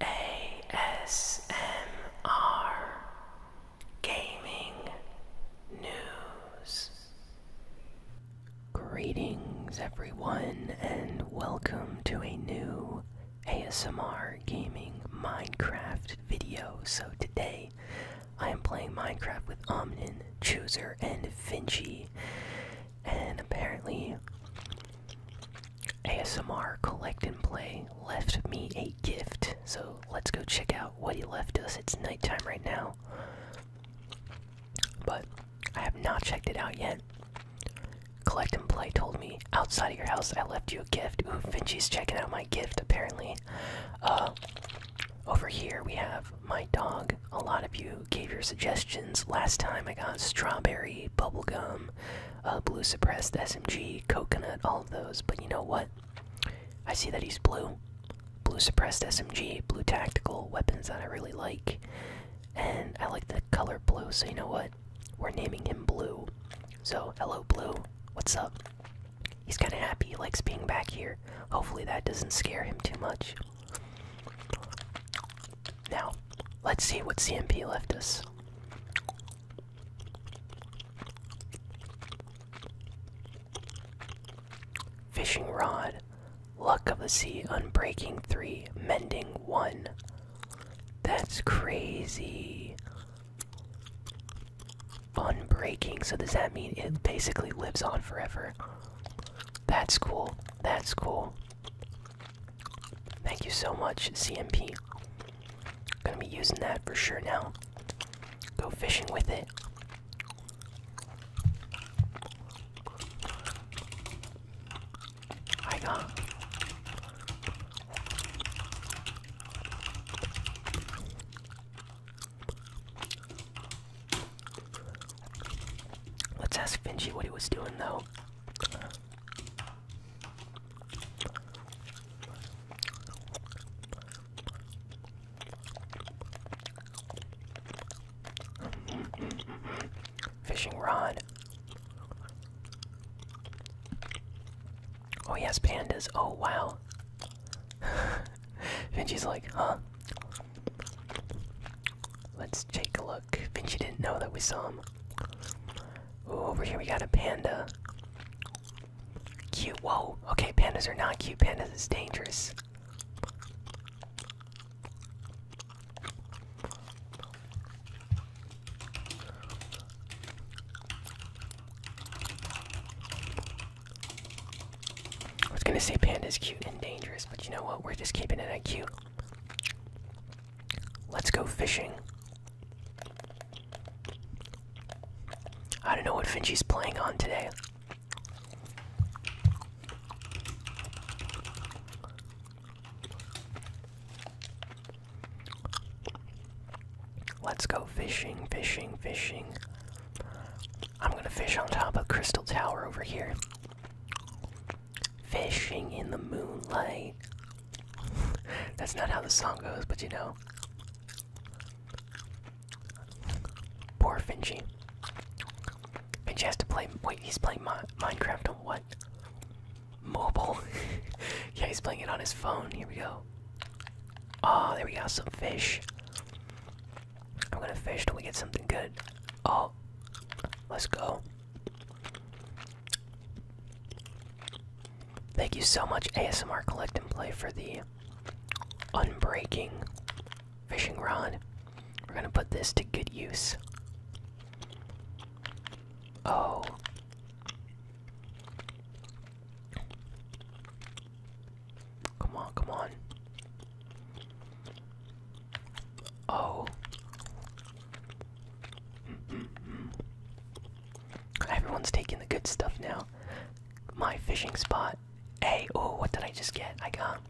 ASMR Gaming News. Greetings, everyone, and welcome to a new ASMR Gaming Minecraft video. So, today I am playing Minecraft with Omnin, Chooser, and Finchie, and apparently. ASMR Collect and Play left me a gift, so let's go check out what he left us. It's nighttime right now, but I have not checked it out yet. Collect and Play told me outside of your house I left you a gift. Ooh, Vinci's checking out my gift apparently. Uh, over here we have my dog. A lot of you gave your suggestions. Last time I got strawberry Grape, Bubblegum, uh, Blue Suppressed, SMG, Coconut, all of those. But you know what? I see that he's blue. Blue Suppressed SMG, Blue Tactical, weapons that I really like. And I like the color blue, so you know what? We're naming him Blue. So, hello, Blue. What's up? He's kind of happy. He likes being back here. Hopefully, that doesn't scare him too much. Now, let's see what CMP left us. Fishing rod, luck of the sea, unbreaking three, mending one. That's crazy. Unbreaking, so does that mean it basically lives on forever? That's cool, that's cool. Thank you so much, CMP. Gonna be using that for sure now. Go fishing with it. Let's ask Finchie what he was doing though. Fishing rod. Oh, yes, pandas. Oh, wow. Vinci's like, huh? Let's take a look luck. Vinci didn't know that we saw him. over here we got a panda. Cute. Whoa. Okay, pandas are not cute. Pandas is dangerous. I was gonna say panda's cute and dangerous, but you know what? We're just keeping it cute. Let's go fishing. I don't know what Finchie's playing on today. Let's go fishing, fishing, fishing. I'm gonna fish on top of Crystal Tower over here. Fishing in the moonlight. That's not how the song goes, but you know. Poor Finchie. Finchie has to play. Wait, he's playing Minecraft on what? Mobile. yeah, he's playing it on his phone. Here we go. Oh, there we got some fish. I'm gonna fish till we get something good. Oh, let's go. Thank you so much, ASMR Collect and Play, for the unbreaking fishing rod. We're gonna put this to good use. Oh. Come on, come on. Oh. Everyone's taking the good stuff now. My fishing spot. Hey, oh, what did I just get? I got.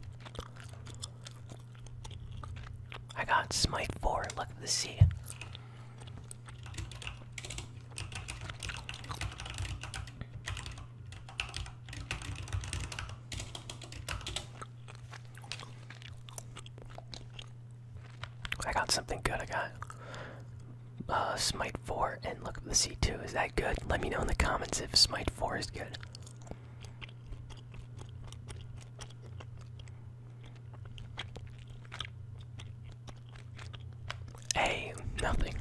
I got Smite 4, Luck of the Sea. I got something good. I got uh, Smite 4 and look at the C2. Is that good? Let me know in the comments if Smite 4 is good. Hey, nothing.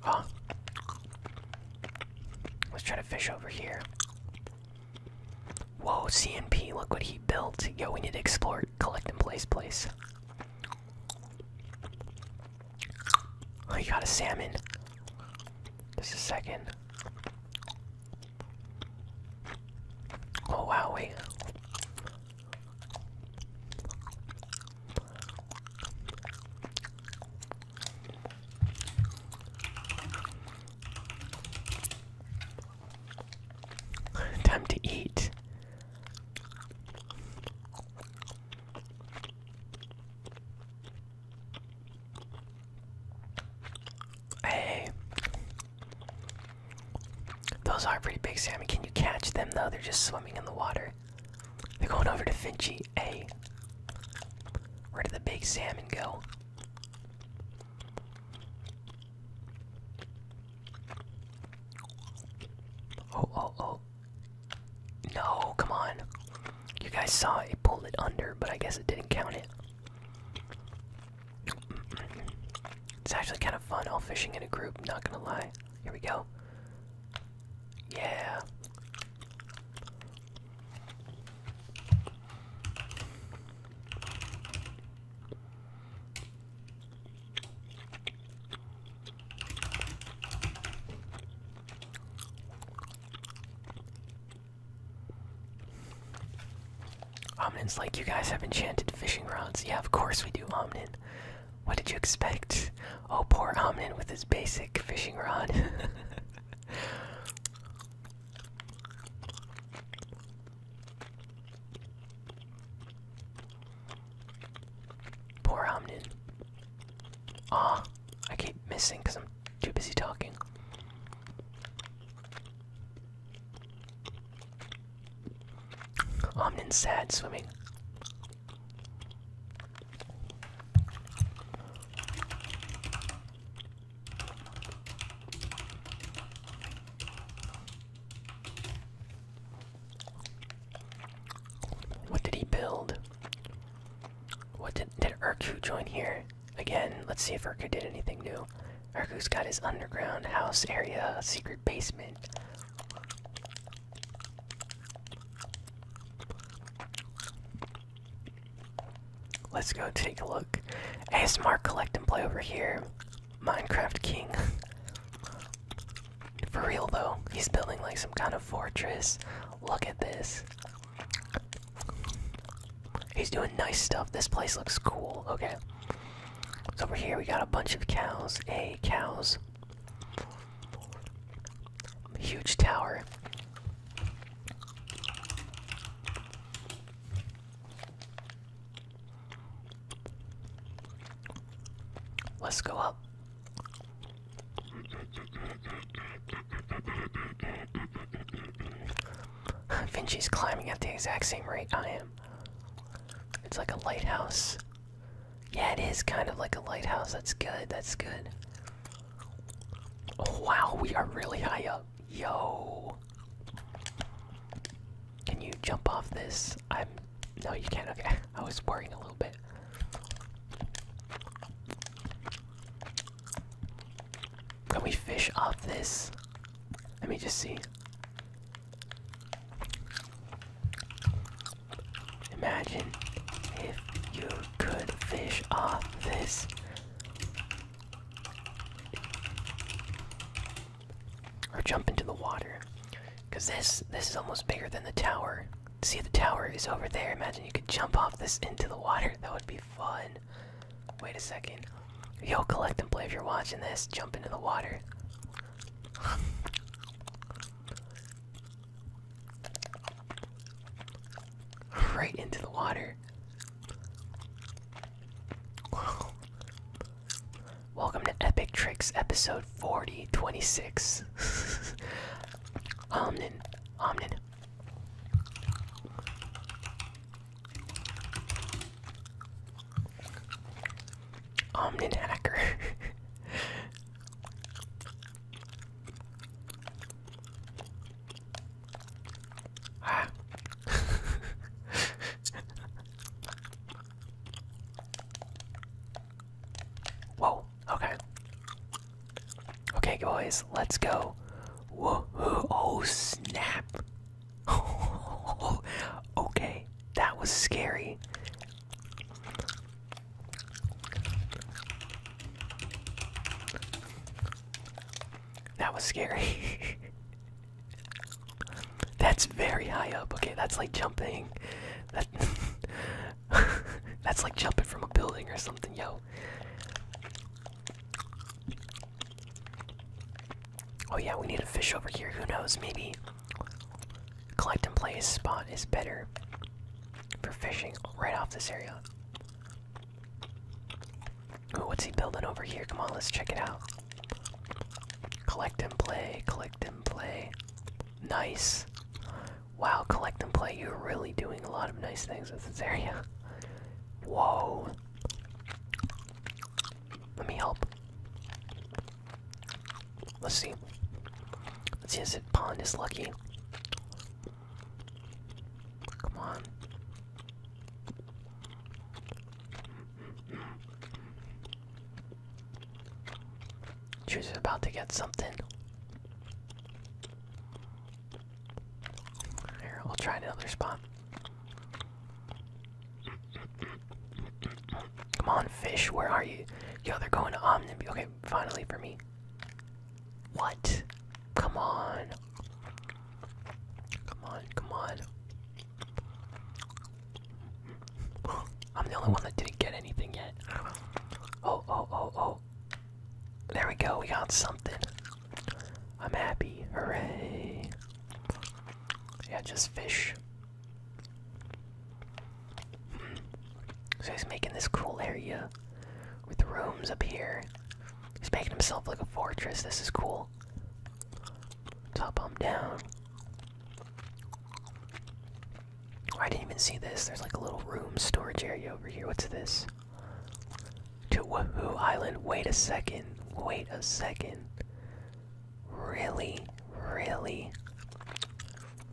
Huh. Let's try to fish over here. Whoa, CNP, look what he built. Yo, we need to explore, collect, and place place. Oh, you got a salmon. Just a second. Oh, wow, wait. Time to eat. Hey, those are pretty big Sammy. Can you catch them though? They're just swimming in the water. They're going over to Finchie. Hey, where did the big salmon go? Oh, oh, oh. No, come on. You guys saw it pulled it under, but I guess it didn't count it. It's actually kind of fun all fishing in a group, not gonna lie. Here we go. Yeah. Omnin's like, you guys have enchanted fishing rods. Yeah, of course we do, Omnin. What did you expect? Oh, poor Omnin with his basic fishing rod. poor Omnin. Ah, I keep missing because I'm too busy talking. Omnin's sad swimming. What did he build? What did did Urku join here? Again, let's see if Urku did anything new. Urku's got his underground house area, secret basement. Let's go take a look. ASMR collect and play over here. Minecraft King. For real though, he's building like some kind of fortress. Look at this. He's doing nice stuff. This place looks cool. Okay. So over here we got a bunch of cows. A cows. Huge tower. Let's go up. Vinci's climbing at the exact same rate I am. It's like a lighthouse yeah, it is kind of like a lighthouse. That's good. That's good. Oh, wow, we are really high up. Yo. Can you jump off this? I'm. No, you can't. Okay. I was worrying a little bit. Can we fish off this? Let me just see. Imagine if you could fish off this. Or jump into the water. Cause this this is almost bigger than the tower. See the tower is over there. Imagine you could jump off this into the water. That would be fun. Wait a second. Yo collect and play if you're watching this. Jump into the water. Right into the water. Welcome to Epic Tricks episode 4026. Omnin. Omnin. Omnin hacker. ah. Whoa, okay. Okay, guys, let's go. Whoa, oh snap. okay, that was scary. That was scary. that's very high up. Okay, that's like jumping. that's like jumping from a building or something, yo. Oh yeah, we need a fish over here. Who knows? Maybe Collect and place spot is better for fishing right off this area. Ooh, what's he building over here? Come on, let's check it out. Collect and play, collect and play. Nice. Wow, collect and play. You're really doing a lot of nice things with this area. Whoa. Let me help. Let's see. Let's see if it pawn is lucky. Come on. She's about to get something. Here, I'll try another spot. Come on, fish, where are you? Yo, they're going to Omniby. Okay, finally for me. What? Come on. Come on, come on. I'm the only one that didn't get anything yet. Oh, oh, oh, oh. There we go, we got something. I'm happy. Hooray. Yeah, just fish. So he's making this cool area with rooms up here. He's making himself like a fortress. This is cool. Top him down. Why do you even see this. There's like a little room storage area over here. What's this? To Wahoo Island. Wait a second. Wait a second really, really.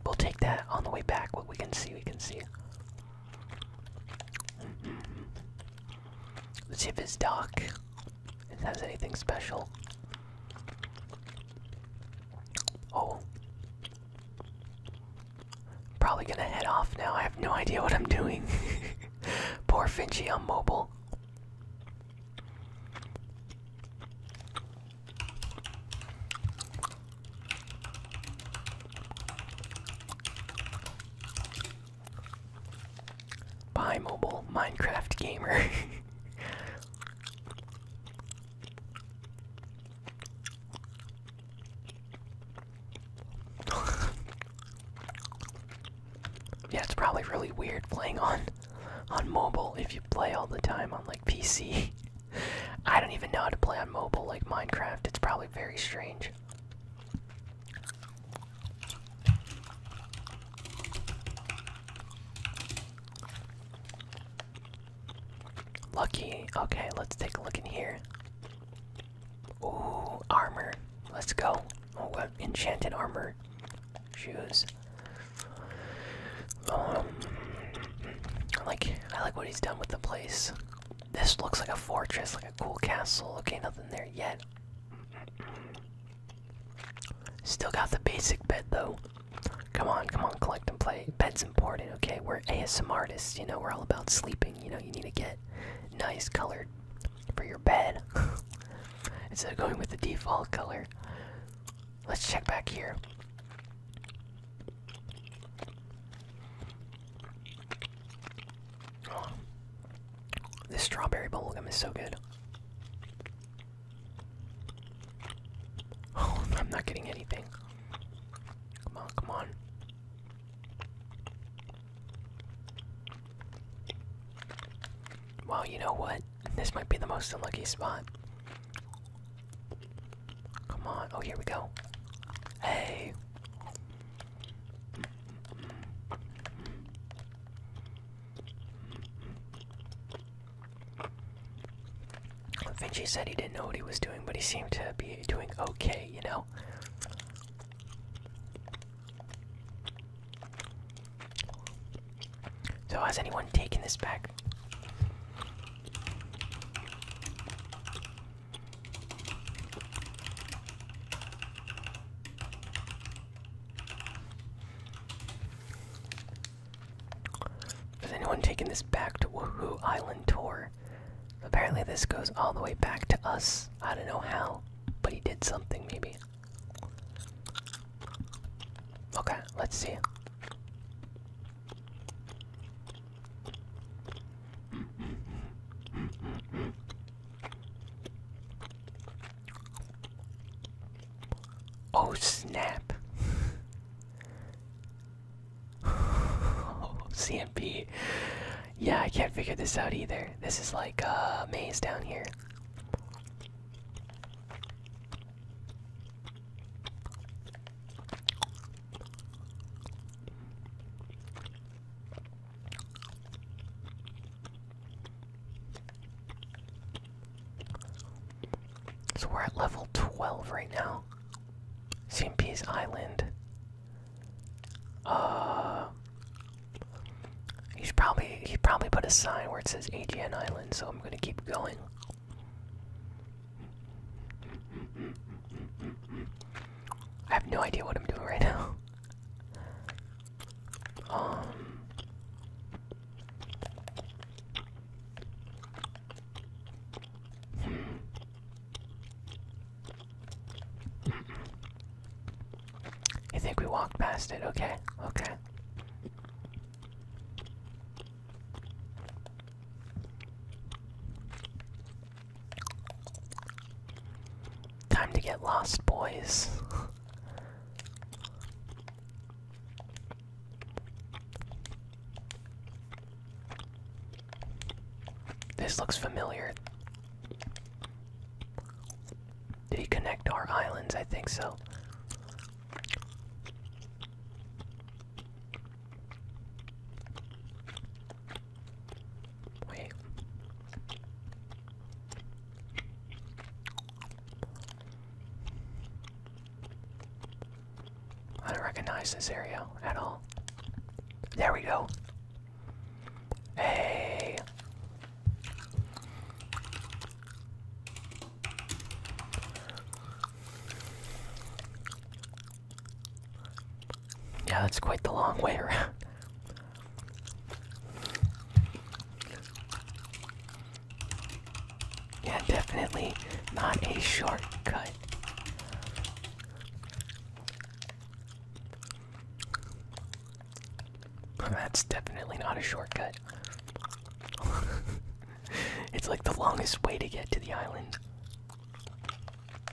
We'll take that on the way back. What we can see, we can see. Mm -hmm. Let's see if his dock has anything special. Oh. Probably gonna head off now. I have no idea what I'm doing. Poor Finchy on mobile. By mobile Minecraft gamer. yeah, it's probably really weird playing on on mobile if you play all the time on like PC. I don't even know how to play on mobile like Minecraft. It's probably very strange. Lucky. Okay, let's take a look in here. Ooh, armor. Let's go. Oh, what enchanted armor shoes. Um, like I like what he's done with the place. This looks like a fortress, like a cool castle. Okay, nothing there yet. Still got the basic bed though. Come on, come on, collect and play. Bed's important, okay? We're ASM artists, you know, we're all about sleeping. You know, you need to get nice colored for your bed. Instead of going with the default color. Let's check back here. This strawberry bubblegum is so good. Oh, I'm not getting anything. Come on, come on. Well, you know what? this might be the most unlucky spot. Come on. Oh, here we go. Hey. Vinci said he didn't know what he was doing, but he seemed to be doing okay, you know? So, has anyone taken this back? Has anyone taken this back to Woohoo Island Tour? Apparently, this goes all the way back to us. I don't know how, but he did something, maybe. Okay, let's see. Oh snap. CMP. Yeah, I can't figure this out either. This is like a uh, maze down here. So we're at level 12 right now. CMP's Island. Uh He's probably he probably put a sign where it says AGN Island, so I'm gonna keep going. I have no idea what I'm doing right now. Um I think we walked past it. Okay, okay. Time to get lost, boys. This looks familiar. Did he connect our islands? I think so. Wait. I don't recognize this area at all. There we go. Hey. Yeah, that's quite the long way around. Yeah, definitely not a shortcut. That's definitely not a shortcut. it's like the longest way to get to the island.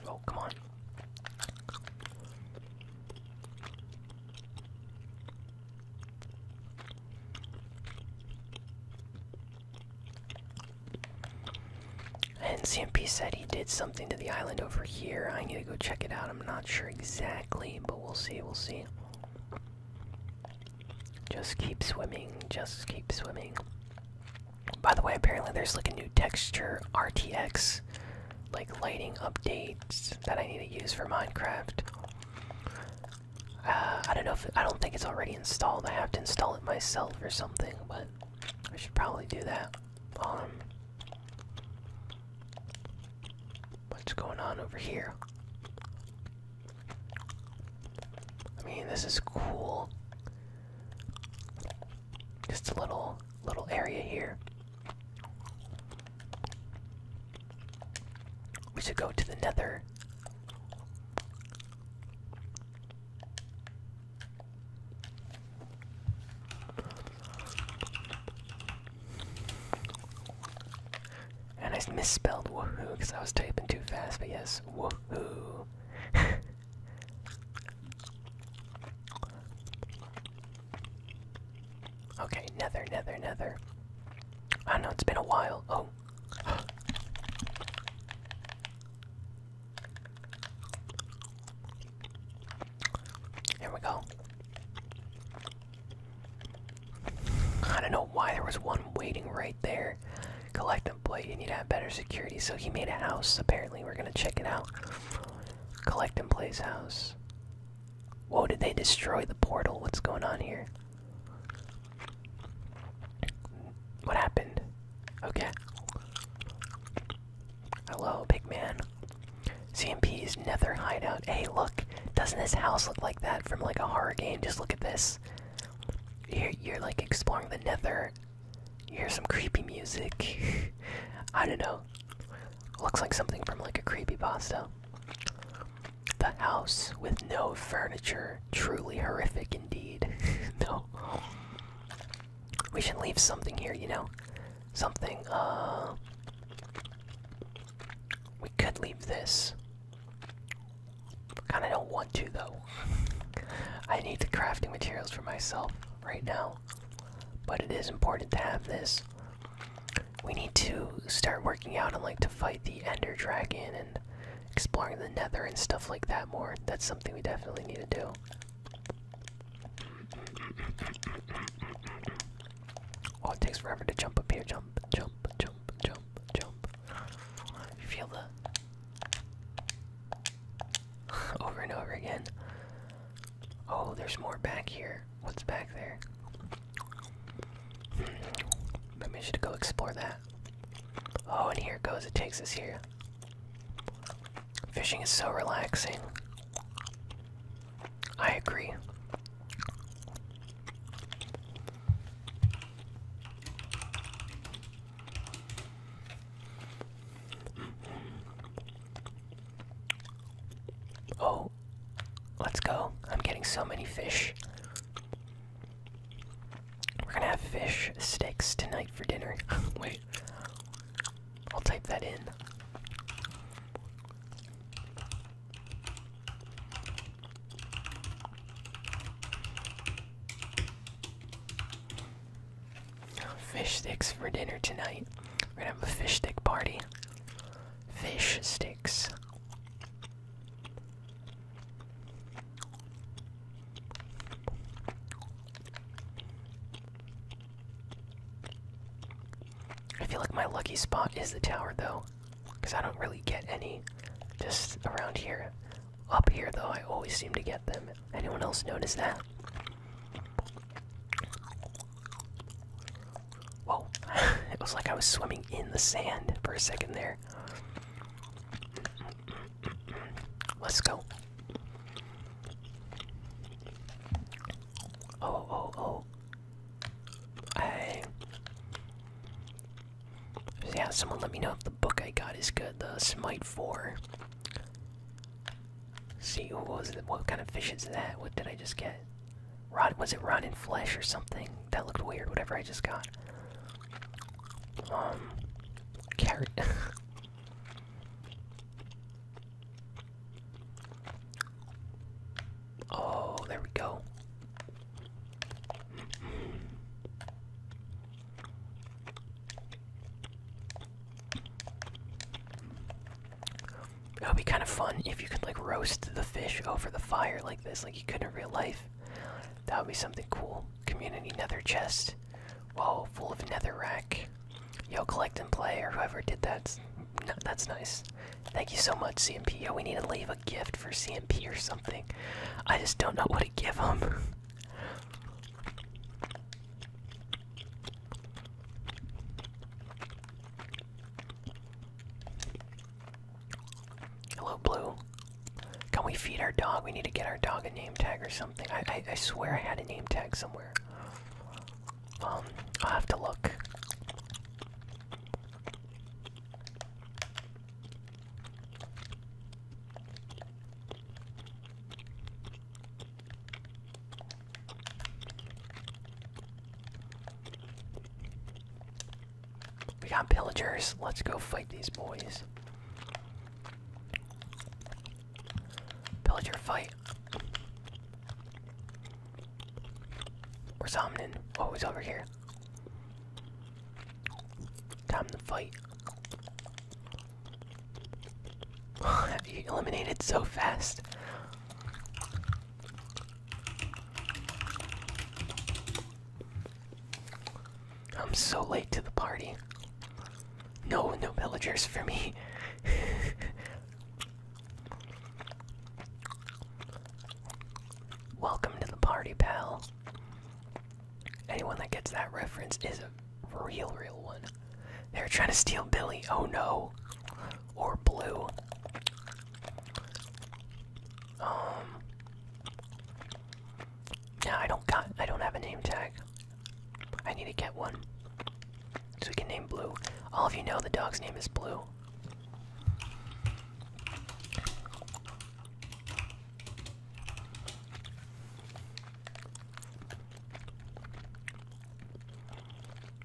Oh, come on. And CMP said he did something to the island over here. I need to go check it out. I'm not sure exactly, but we'll see. We'll see. Just keep swimming, just keep swimming. By the way, apparently there's like a new texture RTX, like lighting updates that I need to use for Minecraft. Uh, I don't know if I don't think it's already installed. I have to install it myself or something, but I should probably do that. Um, What's going on over here? I mean, this is cool. Just a little little area here. We should go to the Nether. And I misspelled woohoo because I was typing too fast, but yes, woohoo. okay, nether, nether, nether. I oh, know it's been a while. Oh. Here we go. I don't know why there was one waiting right there. Collect and You need to have better security. So he made a house. Apparently, we're gonna check it out. Collect and play's house. Whoa! Did they destroy the portal? What's going on here? What happened? Okay. Hello, big man. CMP's nether hideout. Hey, look, doesn't this house look like that from like a horror game? Just look at this. You're, you're like exploring the nether. You hear some creepy music. I don't know. Looks like something from like a creepy pasta. The house with no furniture. Truly horrific indeed. no. We should leave something here, you know? Something, uh. We could leave this. Kinda don't want to though. I need the crafting materials for myself right now. But it is important to have this. We need to start working out and like to fight the Ender Dragon and exploring the Nether and stuff like that more. That's something we definitely need to do. Oh, it takes forever to jump up here. Jump, jump, jump, jump, jump. You feel the. over and over again. Oh, there's more back here. What's back there? Maybe I should go explore that. Oh, and here it goes. It takes us here. Fishing is so relaxing. I agree. Oh, let's go. I'm getting so many fish. We're gonna have fish sticks tonight for dinner. Wait, I'll type that in. Fish sticks for dinner tonight. We're gonna have a fish stick party. Fish sticks. I feel like my lucky spot is the tower though, because I don't really get any just around here. Up here though, I always seem to get them. Anyone else notice that? Whoa, it was like I was swimming in the sand for a second there. Let's go. Oh, oh, oh. I yeah, someone let me know if the book I got is good. The Smite 4. See was it? What kind of fish is that? What did I just get? Rot was it rotten flesh or something? That looked weird. Whatever I just got. Um, carrot. Oh, there we go. That would be kind of fun if you could like roast the fish over the fire like this, like you could in real life. That would be something cool. Community nether chest. Whoa, full of you Yo, collect and play, or whoever did that, that's nice. Thank you so much, CMP. Yo, we need to leave a gift for CMP or something. I just don't know what to give him. Hello, Blue. Can we feed our dog? We need to get our dog a name tag or something. I, I swear I had a name tag somewhere. I'll have to look. We got pillagers. Let's go fight these boys. Pillager fight. Where's Omnin? Oh, he's over here. Time to fight. Have you eliminated so fast. I'm so late to the party. No, no villagers for me. Welcome to the party, pal. Anyone that gets that reference is a real, real one. They're trying to steal Billy. Oh no. Or Blue. Um. No, I don't got. I don't have a name tag. I need to get one. So we can name Blue. All of you know the dog's name is Blue.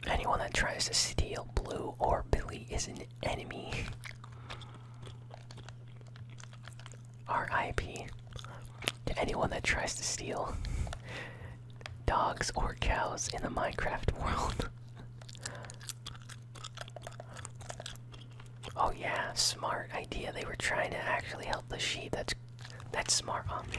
Anyone that tries to steal Blue or Billy is an enemy. RIP to anyone that tries to steal dogs or cows in the Minecraft world. oh yeah, smart idea. They were trying to actually help the sheep. That's that's smart on me.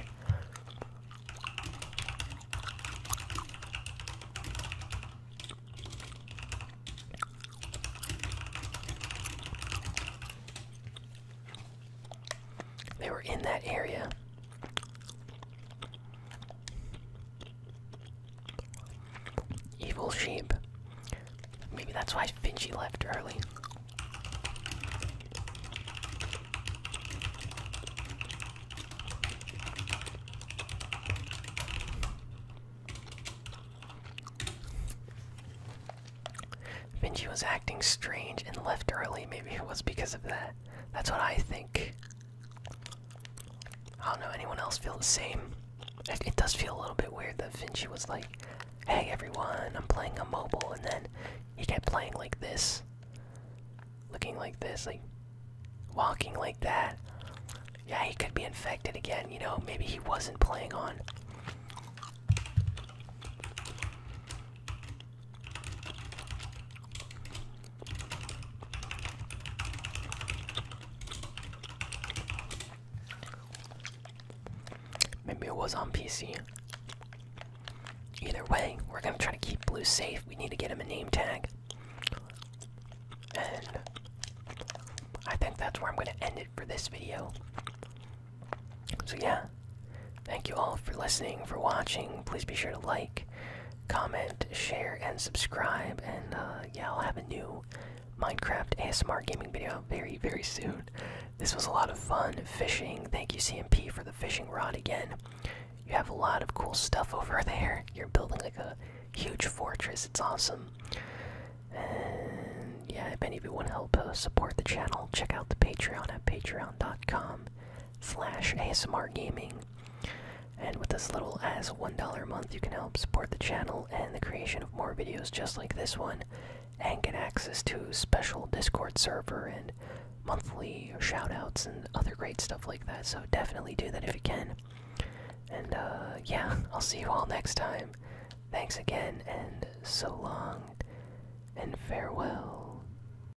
They were in that area. Evil sheep. Maybe that's why Vinci left early. Vinci was acting strange and left early. Maybe it was because of that. That's what I think. I don't know. Anyone else feel the same? It, does feel a little bit weird that Vinci was like, "Hey everyone, I'm playing a mobile," and then he kept playing like this, looking like this, like walking like that. Yeah, he could be infected again. You know, maybe he wasn't playing on. Maybe it was on PC. Either way, we're gonna try to keep Blue safe. We need to get him a name tag. And I think that's where I'm gonna end it for this video. So, yeah, thank you all for listening, for watching. Please be sure to like, comment, share, and subscribe. And uh, yeah, I'll have a new Minecraft ASMR gaming video very, very soon. This was a lot of fun fishing. Thank you, CMP, for the fishing rod again. You have a lot of cool stuff over there. You're building like a huge fortress. It's awesome. And yeah, if any of you want to help uh, support the channel, check out the Patreon at patreon.com slash ASMR Gaming. And with as little as $1 a month, you can help support the channel and the creation of more videos just like this one, and get access to special Discord server and monthly shoutouts and other great stuff like that. So definitely do that if you can. And uh, yeah, I'll see you all next time. Thanks again, and so long, and farewell.